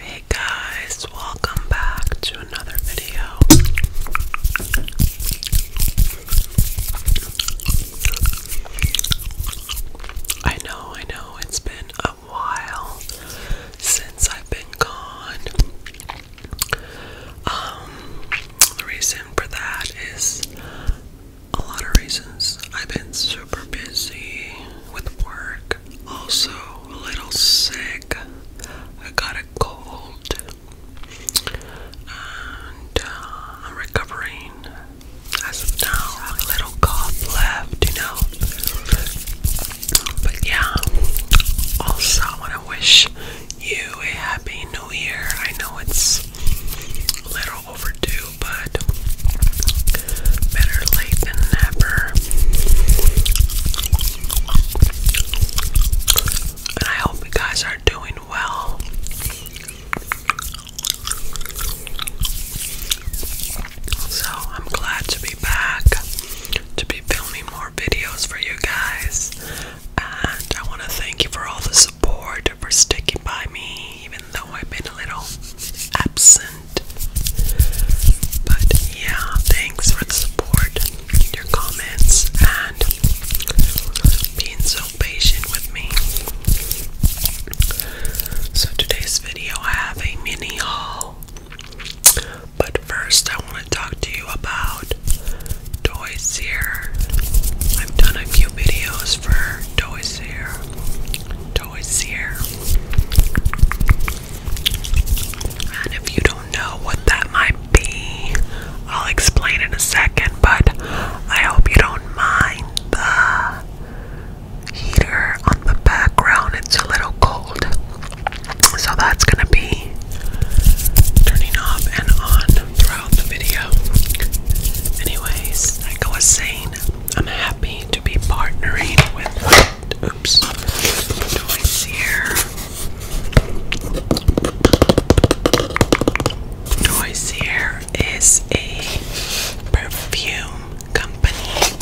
Hey guys, welcome back to another video. I know, I know, it's been a while since I've been gone. Um, the reason for that is a lot of reasons. I've been super busy with work, also a little sick. I got a cold, and uh, I'm recovering. As of now, a little cough left, you know. But yeah, also I want to wish you a happy new year. I know it's a little overdue, but better late than never. And I hope you guys are doing well. So, I'm glad to be back to be filming more videos for you guys. And I want to thank you for all the support, for sticking by me, even though I've been a little absent. But yeah, thanks for the support, your comments, and being so patient with me. So, today's video, I have a mini haul. But first, I want to talk to you about Toys here. I've done a few videos for toys here. Toys here. And if you don't know what that might be, I'll explain in a second, but I hope you don't mind the heater on the background. It's a little cold. So that's gonna be turning off and on throughout the video. Anyways, I go insane. I'm happy to be partnering with oops toys here. Toys here is a perfume company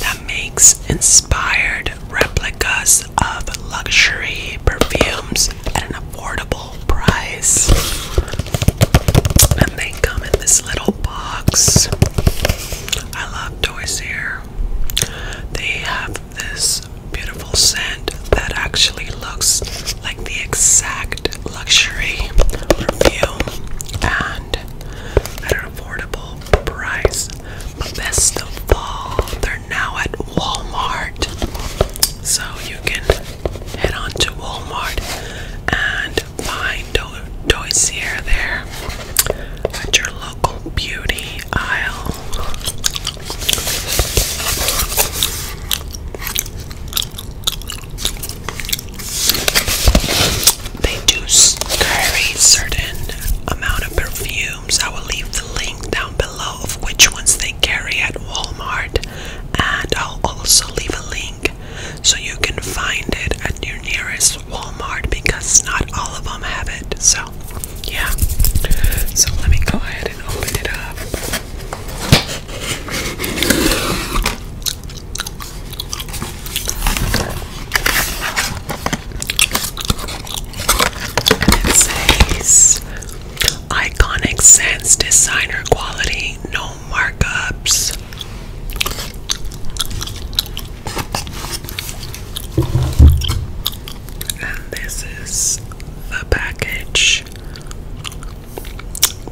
that makes inspired replicas of luxury perfumes at an affordable price. And they come in this little box. I love toys here. They have this beautiful scent that actually looks like the exact luxury perfume and at an affordable price. But this the They're now at Walmart. So you can head on to Walmart and find toys there at your local beauty aisle. They do carry certain amount of perfumes. I will leave the link down below below of which ones they carry at Walmart, and I'll also leave a link so you can find it at your nearest Walmart because not all of them have it. So, yeah. So, let me go ahead and open it up. it says Iconic sense, designer quality, no markups. And this is the package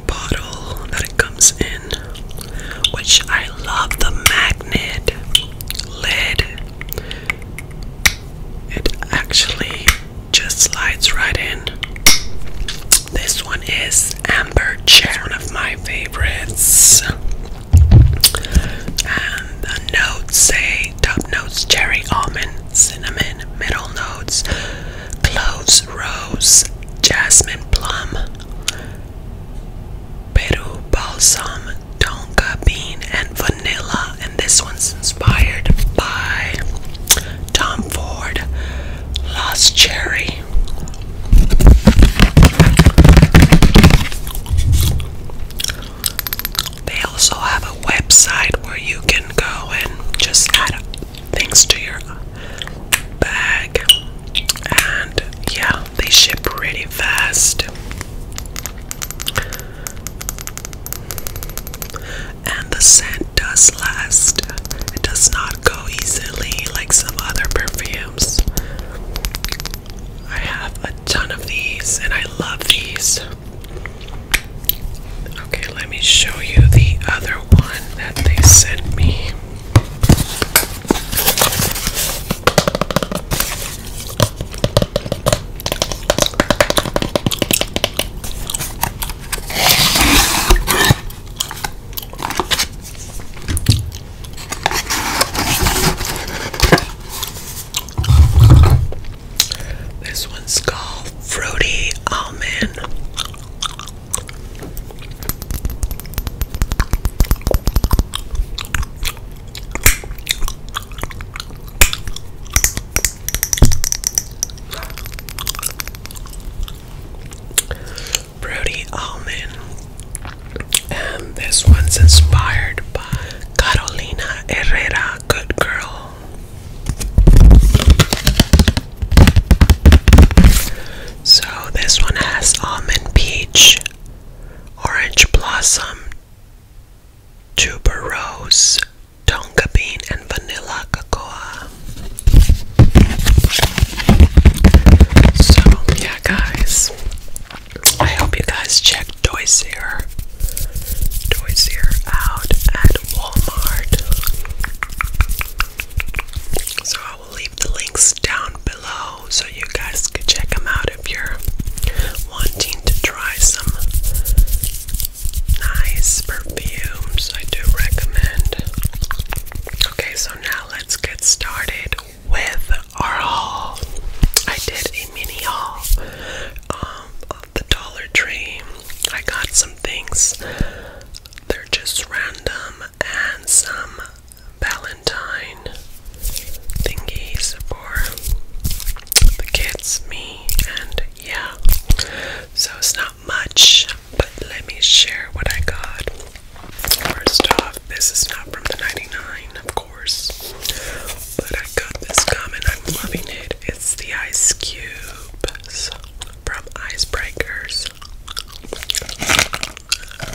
bottle that it comes in, which I love the magnet lid. It actually just slides right in. This one is Amber Chair, one of my favorites. And the notes say top notes cherry almond, cinnamon, middle notes cloves, rose, jasmine, plum, Peru balsam, tonka bean, and vanilla and this one's inspired by Tom Ford Lost Cherry. They also have a website where you can go and just add things to your bag, and yeah, they ship really fast. And the scent does last. It does not go easily like some other perfumes. I have a ton of these and I love these. Okay, let me show you the other one that they sent me. This one's called Fruity Almond. Brody Almond. And um, this one's inspired by Carolina Herrera, Good Girl. So this one has almond peach, orange blossom, tuberose, tonka bean, and vanilla cocoa. So, yeah, guys, I hope you guys check Doisier, Doisier out at Walmart. So, I will leave the links down below so you guys could check them out if you're wanting to try some nice perfumes. I do recommend. Okay, so now let's get started with our haul. I did a mini haul um, of the Dollar Tree. I got some things, they're just random, and some Valentine thingies for the kids, me, and yeah. So it's not much, but let me share what I got. First off, this is not from the 99, of course, but I got this comment. I'm loving it. It's the Ice Cubes from Icebreakers.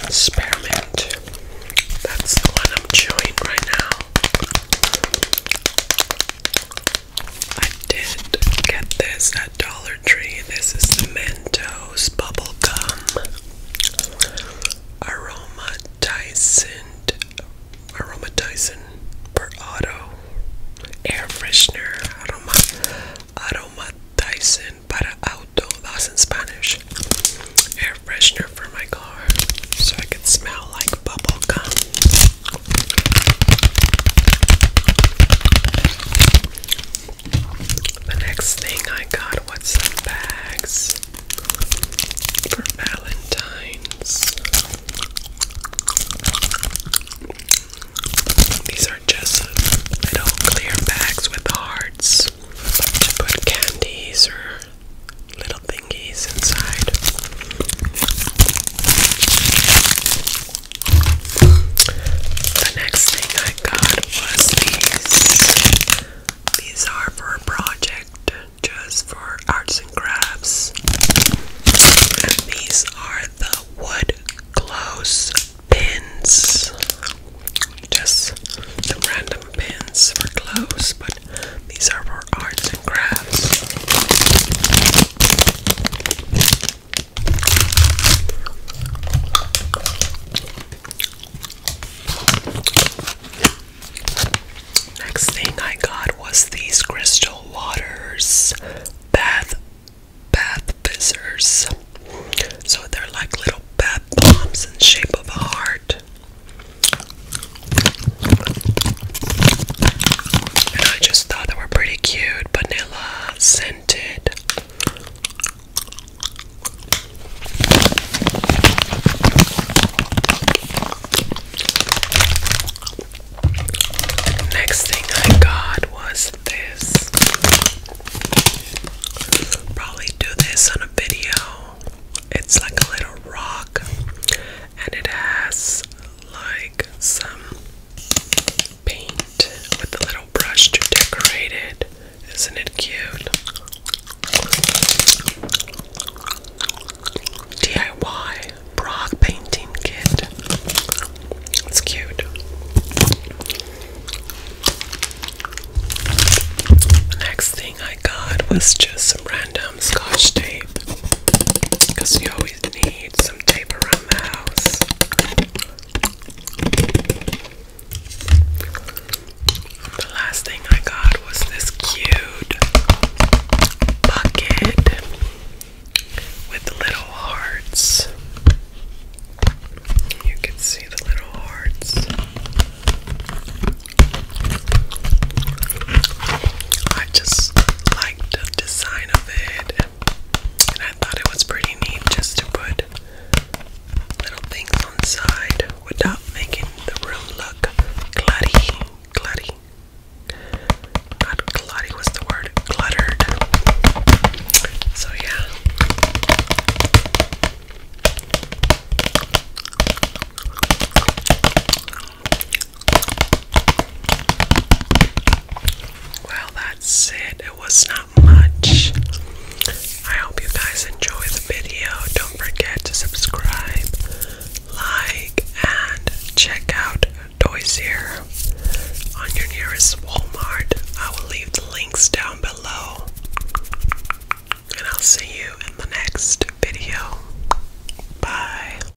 Spearmint. That's the one I'm chewing right now. I did get this at Dollar Tree. This is the Mentos Bubblegum Aromatizant Aromatizant per auto air freshener aroma aromatizant para auto that's in Spanish air freshener for my car so I can smell like bubble gum. The next thing I got was some bags for Valentine's. These are just little clear bags with hearts to put candies or little things the next thing I got was these. These are for a project, just for arts and crafts. these are the wood clothes pins. Just some random pins for clothes, but these are for arts and crafts. Next thing I got was these crystal waters bath bath fizzers. So they're like little bath bombs in shape of a heart. And I just thought they were pretty cute, vanilla scented. Next thing I got was this. Probably do this on a video. It's like a little rock and it has like some paint with a little brush to decorate it. Isn't it cute? DIY Prague painting kit. It's cute. The next thing I got was just some random um, scotch tape because you always need some tape around the house. The last thing I got was this cute bucket with little hearts. You can see the little hearts. I just like the design I thought it was pretty neat just to put little things on the side without making the room look clutty, clutty. Not clutty was the word, cluttered. So yeah. Well, that's it. It was not much. I hope you guys enjoy the video. Don't forget to subscribe, like, and check out Toys Here on your nearest Walmart. I will leave the links down below. And I'll see you in the next video. Bye.